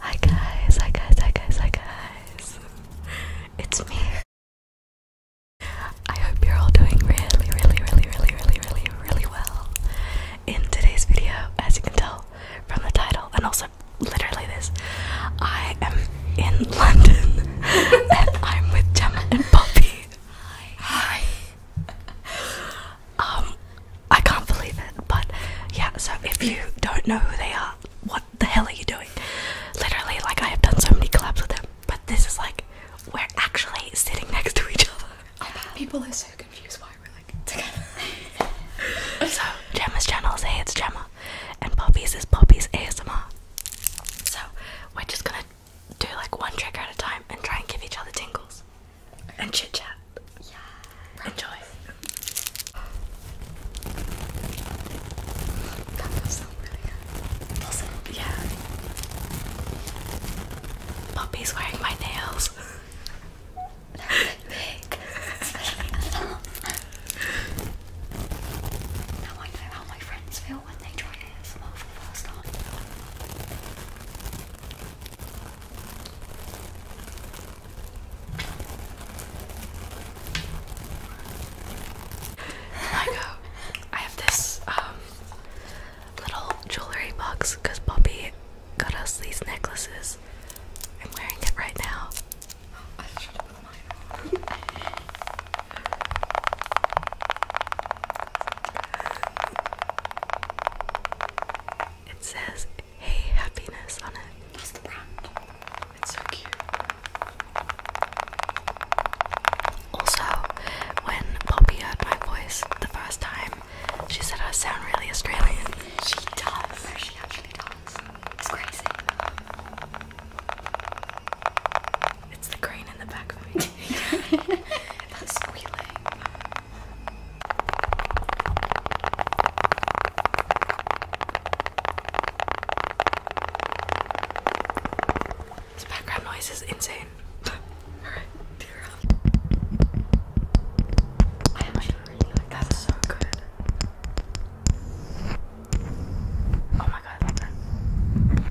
Hi guys, hi guys, hi guys, hi guys. It's me. I hope you're all doing really, really, really, really, really, really, really well. In today's video, as you can tell from the title and also literally this, I am in London and I'm with Gemma and Poppy. Hi. Hi. Um, I can't believe it, but yeah, so if you don't know who they are, what the hell are you doing? Literally, like, I have done so many collabs with them, but this is like, we're actually sitting next to each other. I bet people are so confused why we're like together. so, Gemma's channel is Hey It's Gemma, and Poppy's is Poppy's ASMR. So, we're just gonna do like one trick at a time and try and give each other tingles and chit chat. Yeah. Enjoy. That feels really good. does Yeah. Poppy's wearing my nails. That's big. now I know how my friends feel when they try ASMR I have this um, little jewelry box because Bobby got us these necklaces. I'm wearing it right now. It says Hey Happiness on it. It's so cute. Also, when Poppy heard my voice the first time, she said I sound really Australian. She does. She actually does. It's crazy. It's the grain in the back of me. That's squealing. This background noise is insane. Alright, do I actually really That's so good. Oh my god, I love that.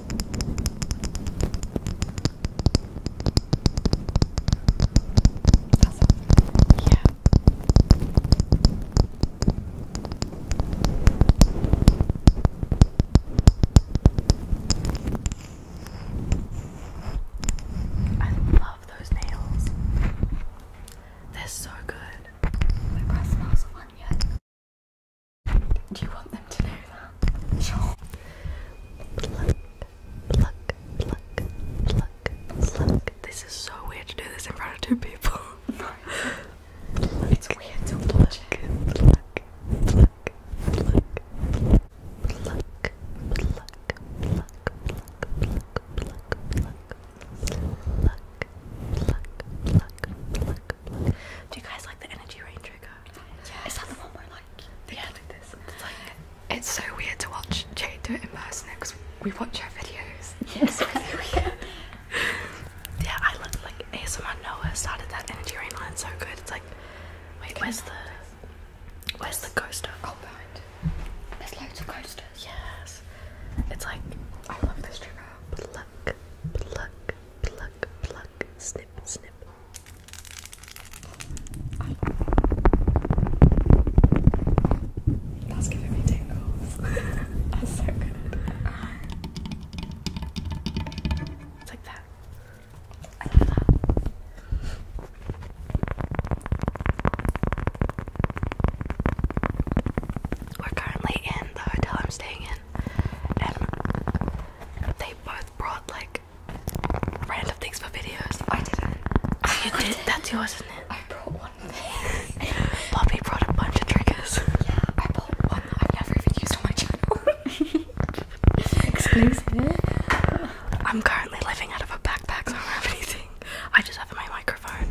I love those nails. They're so good. My breath smells of one do you want them to know that? Sure. Pluck, pluck, pluck, pluck, pluck. This is so weird to do this in front of two people. it's weird to watch it. Pluck, pluck, pluck, pluck, pluck, pluck, pluck, pluck, pluck, pluck, pluck pluck, pluck, Do you guys like the energy rain trigger? Yeah. Is that the one where like yeah. It's so weird to watch Jade do it in person because we watch her videos. Yeah, yeah, I look like ASMR Noah started that energy rain line so good. It's like, wait, where's the where's the coaster? Oh, behind. There's loads of coasters. Yes. It's like I love this trigger. Pluck, pluck, pluck, pluck, snip, snip. That's giving me tingles. That's so good. It's like that we're currently in the hotel I'm staying in, and they both brought like random things for videos. I didn't. you did? That's yours, isn't it? I brought one thing. Bobby brought a bunch of triggers. Yeah, I brought one I've never even used on my channel. Exclusive. I'm currently living out of a backpack, so I don't have anything. I just have my microphone.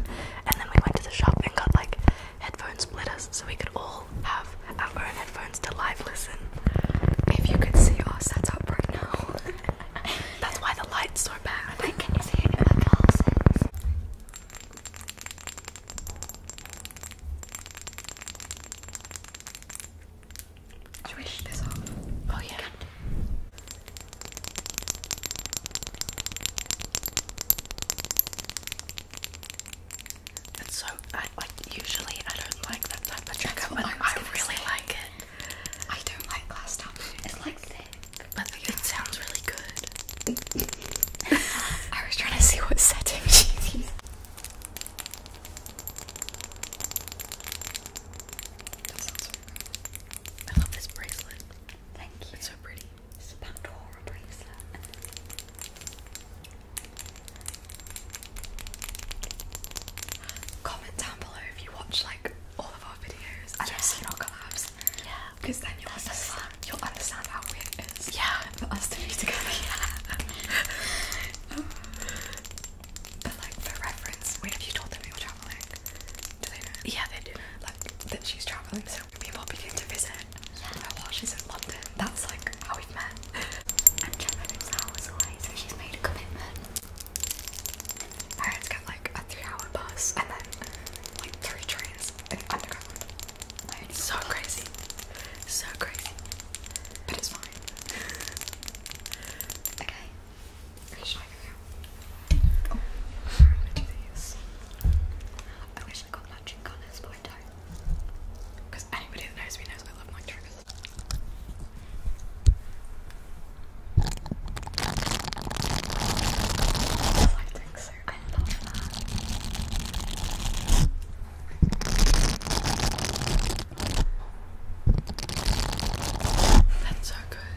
And then we went to the shop and got like headphone splitters so we could all have our own headphones to live listen. If you could see our setup right now, that's why the light's are bad. can you see it in my glasses? Should this off? Oh yeah. It's so I, like usually I don't like that type of trigger, but I, really like it. I don't like glass top. It's like thick, but it sounds really good. I was trying to see what setting she's using. That sounds so good. I love this bracelet. Thank you. It's so pretty. It's a Pandora bracelet. Comment down below if you watch like all of our videos and yeah. have seen our collabs. Yeah. Because then you'll understand you'll understand how weird it is. Yeah. For us to be together. but like for reference, wait, have you told them we were traveling? Do they know? Yeah, they do that she's traveling, so we people begin to visit yeah. her oh, while she's in London. That's like how we've met. and Gemma's now was away, she's made a commitment. I had to get like a three-hour bus and then like three trains and underground. It's so crazy, so crazy, but it's fine. okay. Are you oh, I'm I wish I got matching colours, but I Because anybody that knows me knows I love my triggers. I think so. I love that. That's so good.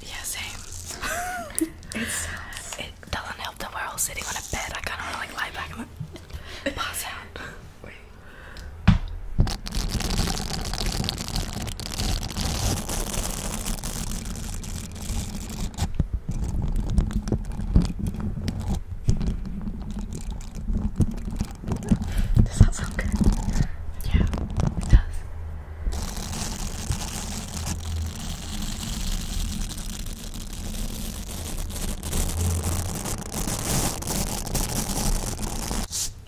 Yeah, same. it doesn't help that we're all sitting on a bed. I kind of want to like lie back and like pass out. Does that sound good? Yeah, it does.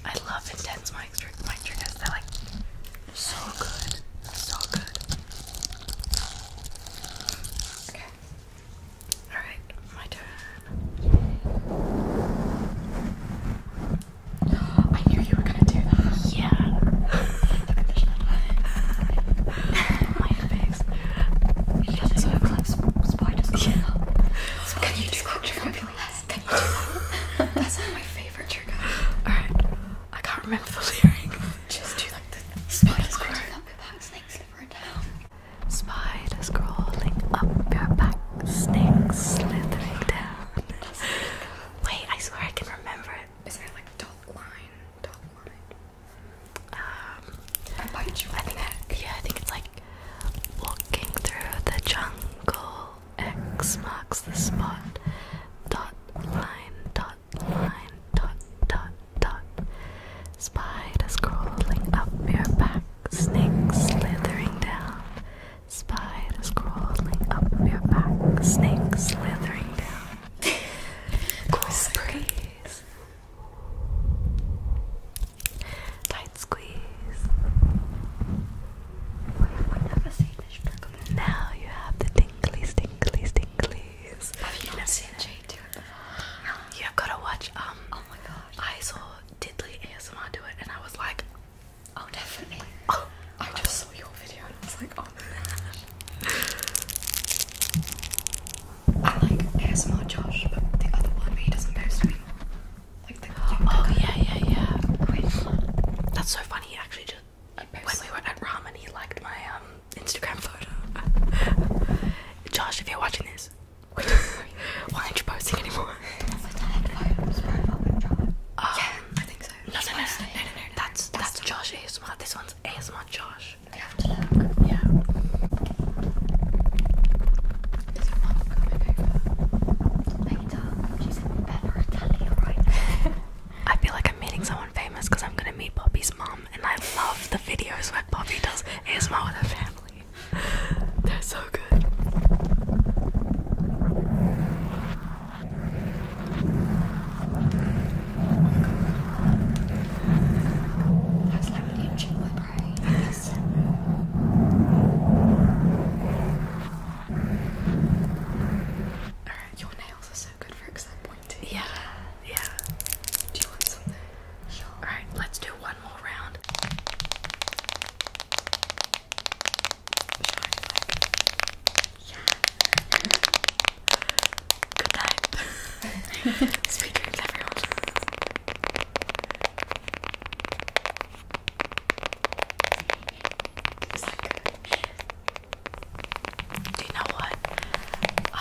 I love intense mic triggers. Mic triggers. They're like so good, so good. Okay. Alright, my turn. I knew you were gonna do that. Yeah. my face. It look like sp spiders. Yeah. Can, you do trigger, Can you do That's like my favorite trigger. Alright, I can't remember the lyric. Just do like the spiders. Spider. Snake slipper down. Spiders crawling up your back, snakes slithering down. Wait, I swear I can remember it. Isn't it like dot line? Dot line. Um, I bite you. I Yeah, I think it's like walking through the jungle. X marks the spot. Dot line. Dot line. Dot dot dot. Spiders crawling up your back, snakes slithering down. Spiders crawling up your back, snakes slithering down. cool Tight squeeze. Now you have the tingly, tingly, tinglies. Have you not seen it? You have gotta watch. Um, oh my gosh. I saw Diddley ASMR do it, and I was like, oh, definitely. Oh, I just oh. saw your video, and I was like, oh my gosh. I like ASMR Josh, but the other one where he doesn't post anymore. Like the Oh yeah, yeah, yeah. Wait. That's so funny. He actually just when we were at ramen, he liked my um Instagram photo. Josh, if you're watching this, why aren't you posting anymore? Oh, that's a That's that's, that's Josh ASMR. This one's ASMR Josh. I feel like I'm meeting someone famous because I'm gonna meet Poppy's mom and I love the videos where Bobby does ASMR with her family. They're so good. I was like itching my brain. Yes. Alright, your nails are so yeah, yeah. Alright, let's do one more round. Yeah. Good night. Sweet dreams, everyone. Is that good? Do you know what?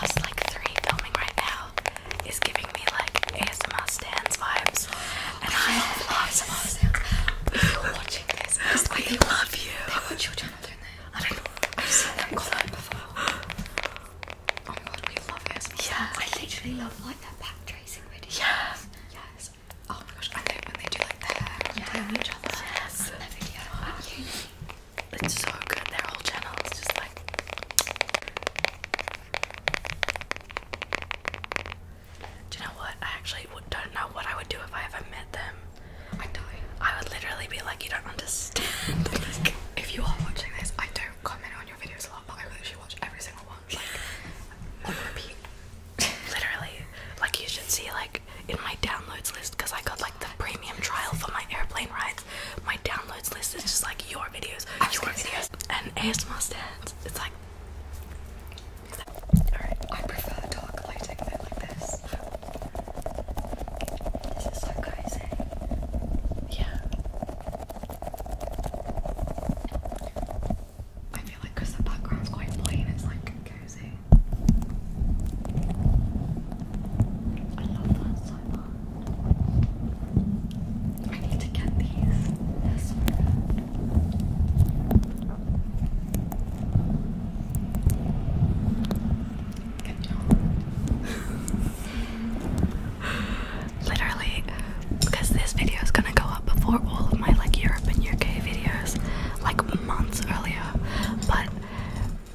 Us like three filming right now is giving me like ASMR stands vibes. And I love ASMR stands. But you're watching this. Just we love you. They watch your channel, don't I don't know. I've seen them comment before. Oh my god, we love ASMR yeah, I literally love like that back tracing video. Yeah. Yes. Oh my gosh, I think when they do like that, Yes. It's so good. Their whole channel is just like. Do you know what? I actually don't know what I would do if I ever met them. I do I would literally be like, you don't understand. like, if you are watching this, I don't comment on your videos a lot, but I literally watch every single one. Like, on repeat. literally. Like, you should see, like, in my downloads list because I got like the premium trial for my airplane rides. My downloads list is just like your videos, your videos, and ASMR stands. It's like. Alright, I prefer dark lighting than like this. This is so cozy. Yeah. I feel like the background's quite plain, it's like cozy. I love that so much. I need to get these. they Literally, because this video is gonna go up before all of my like Europe and UK videos, like months earlier, but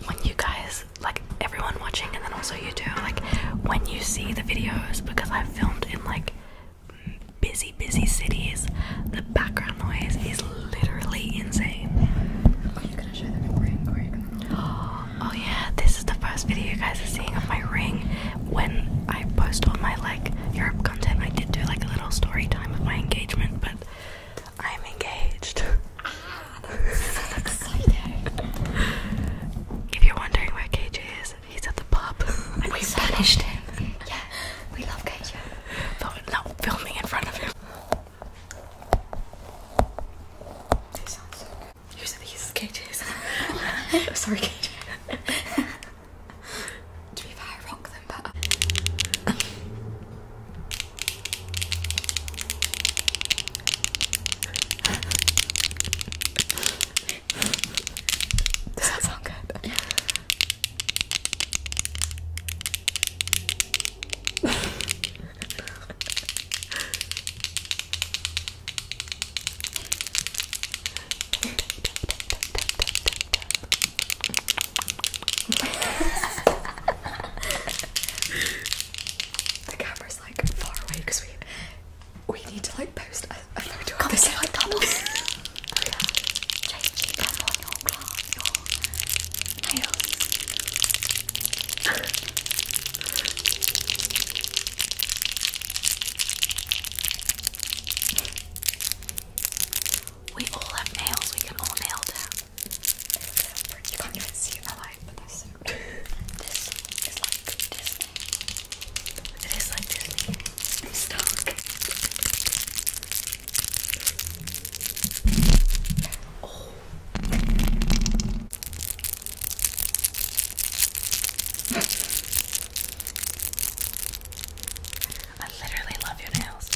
when you guys, like everyone watching, and then also you too, like when you see the videos, because i filmed in like busy, busy cities, the background noise is literally insane. Oh, oh, yeah, this is the first video you guys are seeing of my ring. When I post all my like Europe content, I did do like a little story time of my engagement, but I'm engaged. if you're wondering where KJ is, he's at the pub. we punished him. Yeah, we love KJ. Though filming in front of him. They sound so Sorry, KJ. To be fair, I rock them better. Um, Does that sound good? the camera's like far away because we we need to like post a, a photo come this. On, come on, oh, we all have nails, we can all nail down. You can't even see the light, but that's so This is like Disney. It is like Disney. I'm Oh. I literally love your nails.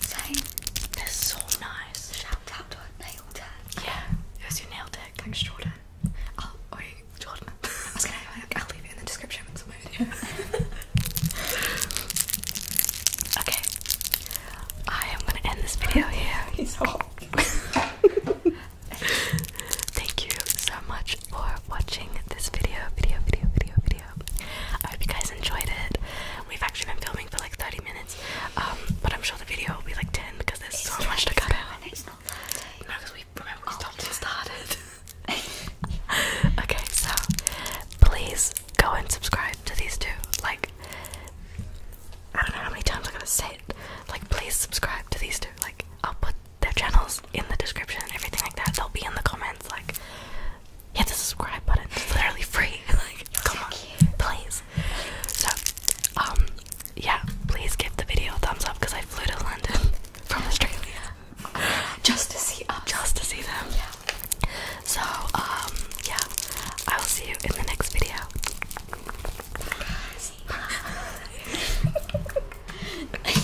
Same. They're so nice. Shout to a nail tech. Yeah, it was your nail tech. Thanks, Jordan. Oh, wait, Jordan. I will leave it in the description of my video. okay, I am gonna end this video here. He's hot. Thank you so much for watching this video, video, video, video, video. I hope you guys enjoyed it. We've actually been filming for like 30 minutes, um, but I'm sure the video will be like 10 because there's so much to cut out. No, because we remember we oh, stopped and started. okay, so please go and subscribe to these two. Like, I don't know how many times I'm gonna say it. Like, please subscribe to these two. Like, I'll put their channels in the description and everything like that. They'll be in the comments like hit the subscribe button. It's literally free. like come on, please. So um yeah, please give the video a thumbs up because I flew to London from Australia. Just to see Just to see them. So, um, yeah. I will see you in the next video.